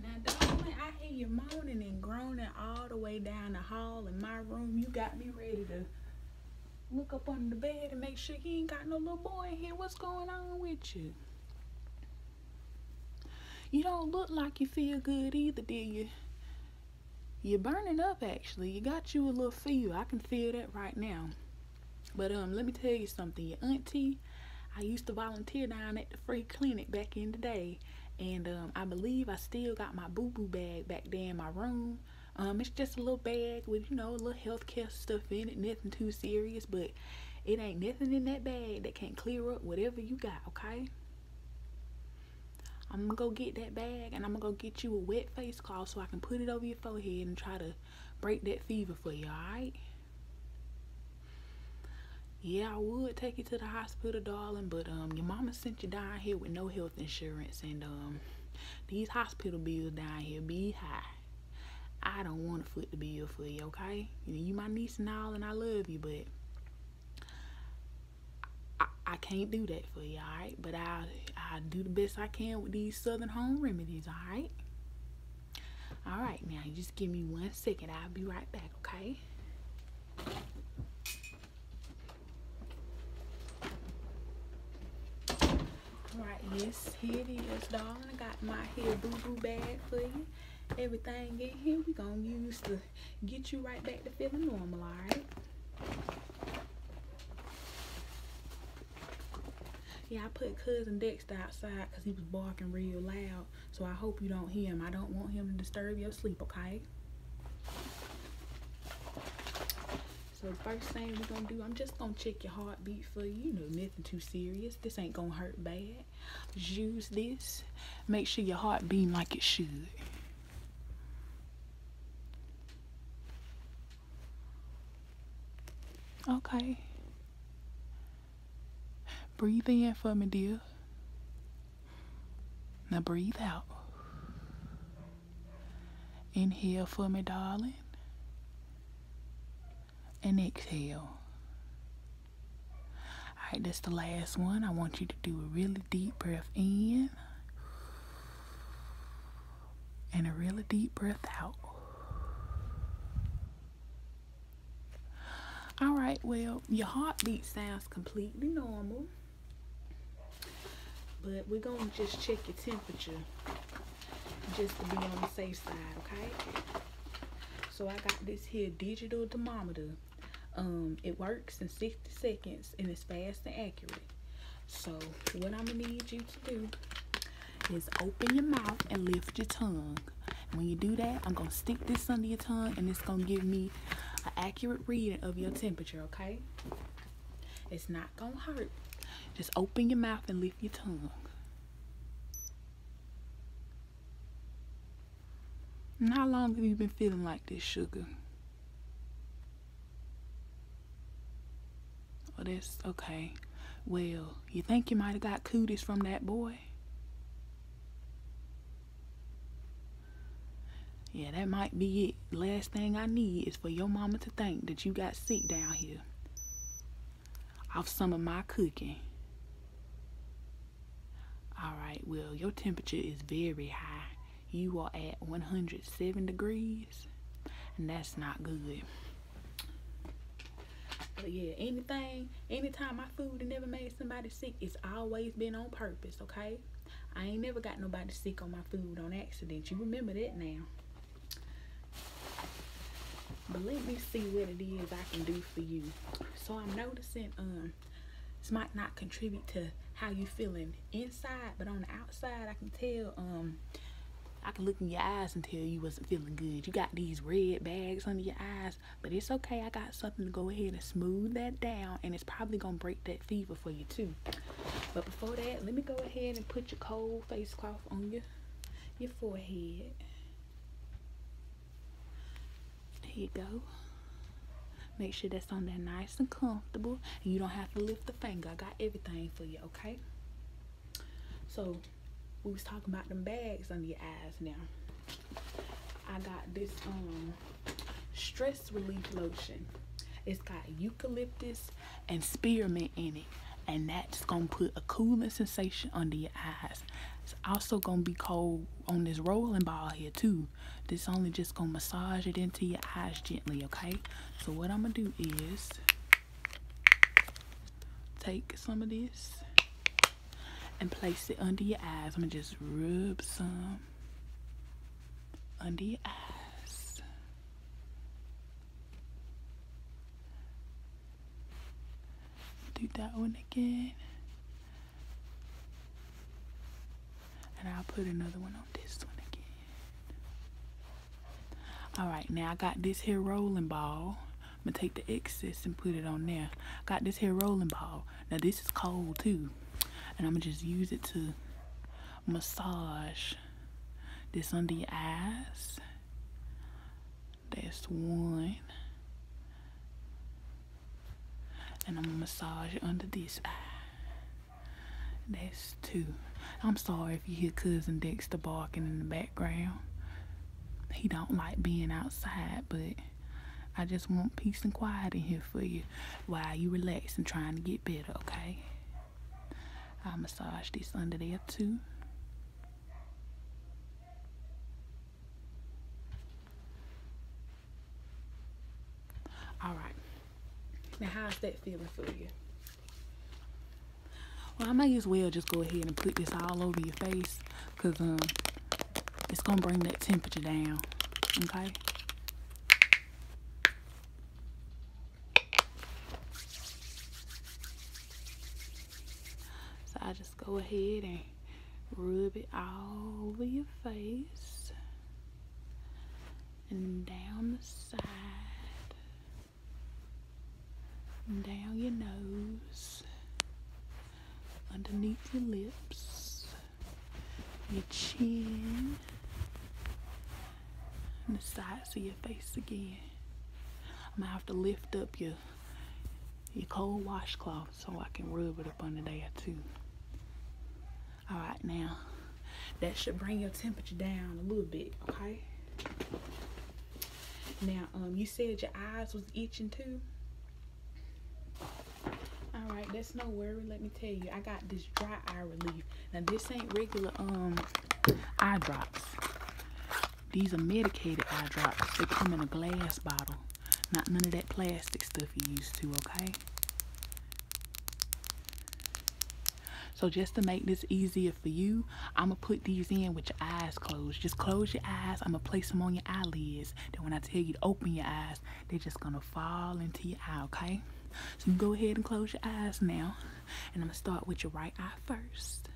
Now, darling, I hear you moaning and groaning all the way down the hall in my room. You got me ready to look up under the bed and make sure he ain't got no little boy in here. What's going on with you? You don't look like you feel good either, do you? You're burning up, actually. You got you a little fever. I can feel that right now. But um, let me tell you something. Your auntie, I used to volunteer down at the free clinic back in the day, and um, I believe I still got my boo boo bag back there in my room. Um, it's just a little bag with you know a little healthcare stuff in it, nothing too serious, but it ain't nothing in that bag that can't clear up whatever you got. Okay. I'm gonna go get that bag and I'm gonna go get you a wet face cloth so I can put it over your forehead and try to break that fever for you, alright? Yeah, I would take you to the hospital, darling, but um your mama sent you down here with no health insurance and um these hospital bills down here be high. I don't want to foot the bill for you, okay? You, you my niece and all, and I love you, but I, I can't do that for you, all right? But I I do the best I can with these Southern home remedies, all right? All right, now just give me one second. I'll be right back, okay? All right, yes, here it is, darling. I got my hair boo-boo bag for you. Everything in here, we gonna use to get you right back to feeling normal, all right? Yeah, I put cousin Dexter outside because he was barking real loud. So I hope you don't hear him. I don't want him to disturb your sleep, okay? So first thing we're going to do, I'm just going to check your heartbeat for you. No nothing too serious. This ain't going to hurt bad. use this. Make sure your heart beating like it should. Okay. Breathe in for me, dear. Now breathe out. Inhale for me, darling. And exhale. Alright, that's the last one. I want you to do a really deep breath in and a really deep breath out. All right, well, your heartbeat sounds completely normal, but we're going to just check your temperature just to be on the safe side, okay? So I got this here digital thermometer. Um, it works in 60 seconds and it's fast and accurate. So what I'm gonna need you to do is open your mouth and lift your tongue. When you do that, I'm gonna stick this under your tongue and it's gonna give me an accurate reading of your temperature, okay? It's not gonna hurt. Just open your mouth and lift your tongue. how long have you been feeling like this, sugar? Well, that's okay. Well, you think you might have got cooties from that boy? Yeah, that might be it. Last thing I need is for your mama to think that you got sick down here of some of my cooking. All right, well, your temperature is very high. You are at 107 degrees and that's not good but yeah anything anytime my food never made somebody sick it's always been on purpose okay i ain't never got nobody sick on my food on accident you remember that now but let me see what it is i can do for you so i'm noticing um this might not contribute to how you feeling inside but on the outside i can tell um I can look in your eyes and tell you wasn't feeling good. You got these red bags under your eyes, but it's okay. I got something to go ahead and smooth that down, and it's probably gonna break that fever for you too. But before that, let me go ahead and put your cold face cloth on your your forehead. Here you go. Make sure that's on there nice and comfortable. And you don't have to lift the finger. I got everything for you okay? So we was talking about them bags under your eyes now. I got this um stress relief lotion. It's got eucalyptus and spearmint in it. And that's gonna put a cooling sensation under your eyes. It's also gonna be cold on this rolling ball here too. This only just gonna massage it into your eyes gently, okay? So what I'm going to do is take some of this and place it under your eyes. I'm going to just rub some under your eyes. Do that one again. And I'll put another one on this one again all right now i got this here rolling ball i'm gonna take the excess and put it on there got this here rolling ball now this is cold too and i'm gonna just use it to massage this under your eyes that's one and i'm gonna massage under this eye that's two. I'm sorry if you hear cousin Dexter barking in the background. He don't like being outside, but I just want peace and quiet in here for you while you relax and trying to get better, okay? I'll massage this under there too. Alright, now, how's that feeling for you? Well, I might as well just go ahead and put this all over your face because um, it's going to bring that temperature down, okay? So I just go ahead and rub it all over your face and down the side, and down your nose, underneath your lips, your chin, and the sides of your face again. I'm gonna have to lift up your your cold washcloth so I can rub it up under there too. All right, now that should bring your temperature down a little bit, okay? Now, um, you said your eyes was itching too. All right, that's no worry. Let me tell you, I got this dry eye relief. Now, this ain't regular um eye drops. These are medicated eye drops. They come in a glass bottle. Not none of that plastic stuff you used to, okay? So just to make this easier for you, I'm going to put these in with your eyes closed. Just close your eyes. I'm going to place them on your eyelids. Then when I tell you to open your eyes, they're just going to fall into your eye, okay? So go ahead and close your eyes now. And I'm going to start with your right eye first.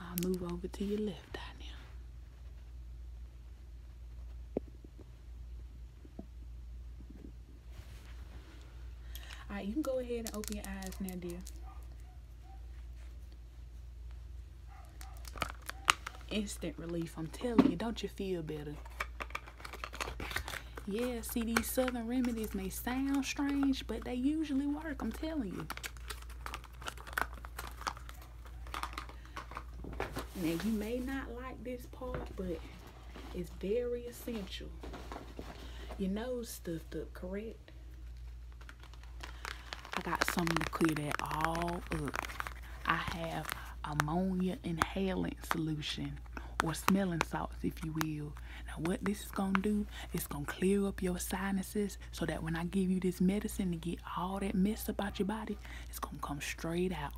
I'll move over to your left eye Alright, you can go ahead and open your eyes now, dear. Instant relief, I'm telling you. Don't you feel better? Yeah, see, these southern remedies may sound strange, but they usually work, I'm telling you. Now you may not like this part, but it's very essential. Your nose stuffed up, correct? I got something to clear that all up. I have ammonia inhalant solution or smelling salts, if you will. Now what this is gonna do, it's gonna clear up your sinus so that when I give you this medicine to get all that mess about your body, it's gonna come straight out.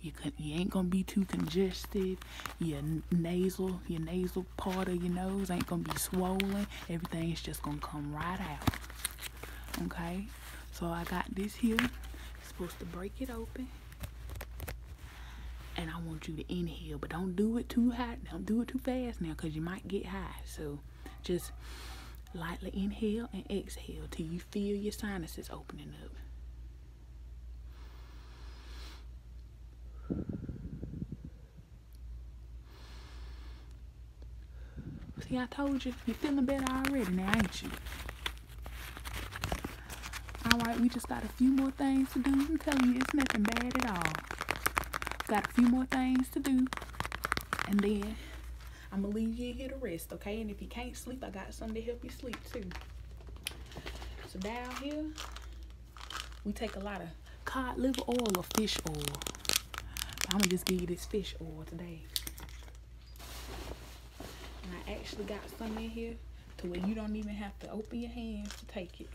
You ain't gonna be too congested. Your nasal, your nasal part of your nose ain't gonna be swollen. Everything's just gonna come right out. Okay, so I got this here. supposed to break it open and I want you to inhale, but don't do it too hot. Don't do it too fast now because you might get high. So just lightly inhale and exhale till you feel your sinuses opening up. See, I told you, you're feeling better already now, ain't you? Alright, we just got a few more things to do. I'm telling you, it's nothing bad at all. Got a few more things to do. And then I'm gonna leave you here to rest, okay? And if you can't sleep, I got something to help you sleep too. So down here, we take a lot of cod liver oil or fish oil. I'm gonna just give you this fish oil today. And I actually got some in here to where you don't even have to open your hands to take it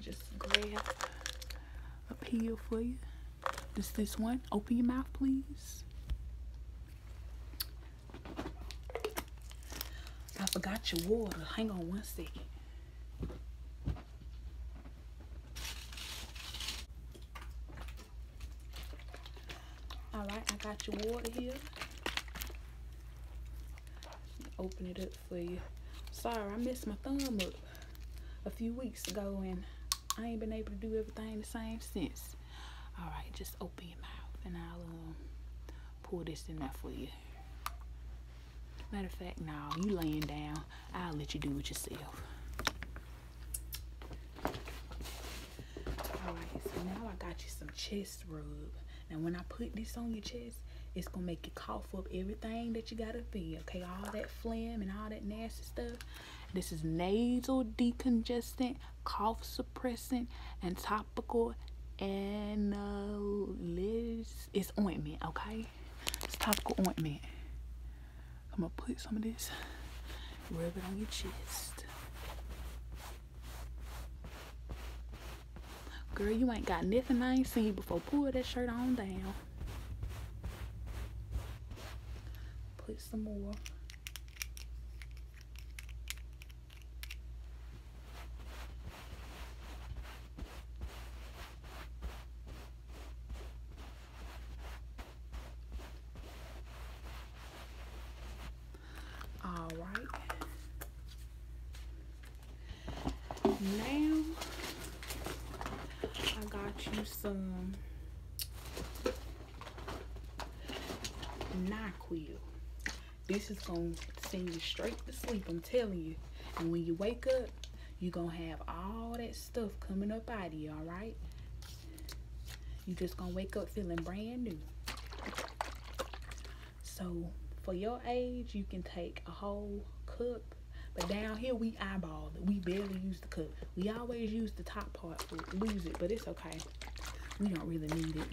just grab a peel for you. This this one. Open your mouth, please. I forgot your water. Hang on one second. Alright, I got your water here. Open it up for you. Sorry, I missed my thumb up a few weeks ago and I ain't been able to do everything the same since. All right, just open your mouth and I'll um, pull this in there for you. Matter of fact, now you laying down. I'll let you do it yourself. All right, so now I got you some chest rub. Now, when I put this on your chest, it's gonna make you cough up everything that you gotta feel, okay? All that phlegm and all that nasty stuff. This is nasal decongestant, cough suppressant, and topical analysis. It's ointment, okay? It's topical ointment. I'm gonna put some of this, rub it on your chest. Girl, you ain't got nothing I ain't seen before. Pull that shirt on down. Put some more. All right. Now, I got you some nightquil. This is going to send you straight to sleep, I'm telling you. And when you wake up, you're going to have all that stuff coming up out of you, all right? You're just going to wake up feeling brand new. So for your age, you can take a whole cup. But down here, we eyeball it. We barely use the cup. We always use the top part. We lose it, but it's okay. We don't really need it.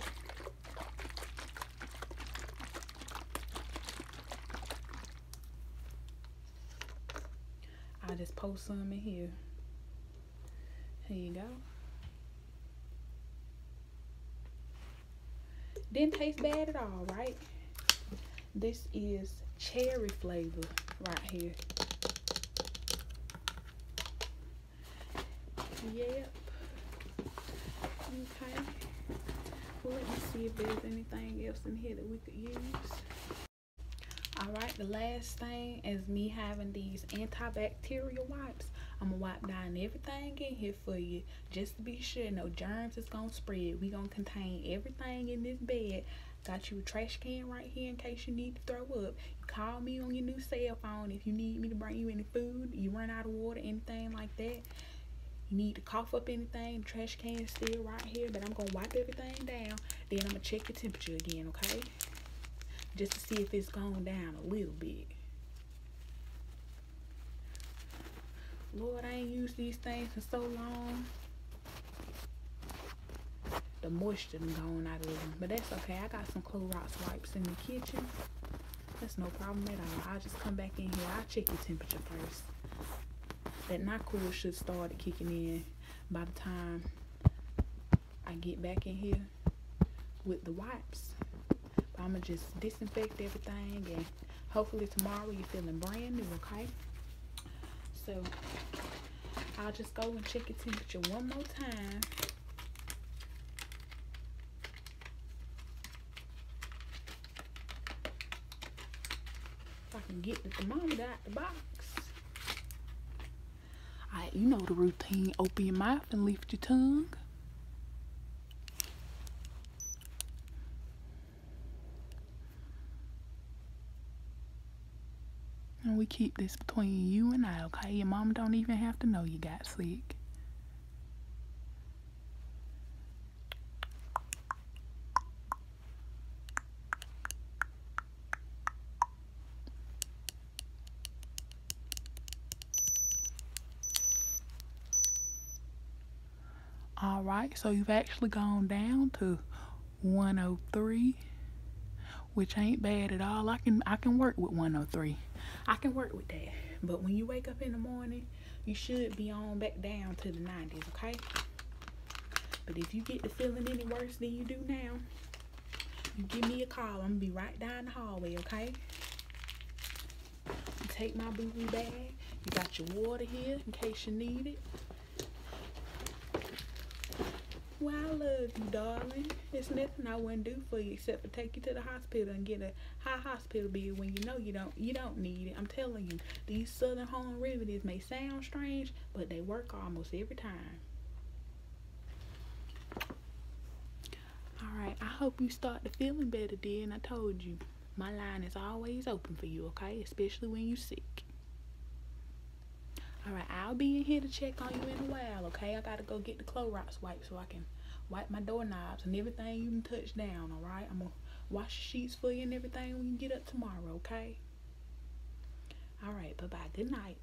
I just post some in here. Here you go. Didn't taste bad at all, right? This is cherry flavor right here. Yep. Okay. let me see if there's anything else in here that we could use. Alright, the last thing is me having these antibacterial wipes. I'm going to wipe down everything in here for you just to be sure no germs is gonna spread. We gonna contain everything in this bed. Got you a trash can right here in case you need to throw up. call me on your new cell phone if you need me to bring you any food, you run out of water, anything like that. You need to cough up anything, trash can still right here, but I'm gonna wipe everything down. Then I'm gonna check your temperature again, okay? Just to see if it's gone down a little bit. Lord, I ain't used these things for so long. The moisture has gone out of them. But that's okay. I got some Clorox wipes in the kitchen. That's no problem at all. I'll just come back in here. I'll check your temperature first. That NyQuil should start kicking in by the time I get back in here with the wipes. But I'm going to just disinfect everything and hopefully tomorrow you're feeling brand new, okay? So I'll just go and check your temperature one more time. If I can get the thermometer out the box. Alright, you know the routine. Open your mouth and lift your tongue. And we keep this between you and I, okay? Your mom don't even have to know you got sick. All right, so you've actually gone down to 103, which ain't bad at all. I can I can work with 103. I can work with that. But when you wake up in the morning, you should be on back down to the 90s, okay? But if you get the feeling any worse than you do now, you give me a call. I'm going to be right down the hallway, okay? take my boo-boo bag. You got your water here in case you need it. Well, I love you, darling. It's nothing I wouldn't do for you except for take you to the hospital and get a high hospital bill when you know you don't you don't need it. I'm telling you, these southern home remedies may sound strange, but they work almost every time. Alright, I hope you start to feeling better, dear. And I told you, my line is always open for you, okay? Especially when you sick. Alright, I'll be in here to check on you in a while, okay? I gotta go get the Clorox wipe so I can wipe my doorknobs and everything you can touch down, alright? I'm gonna wash the sheets for you and everything when you get up tomorrow, okay? Alright, bye-bye. Good night.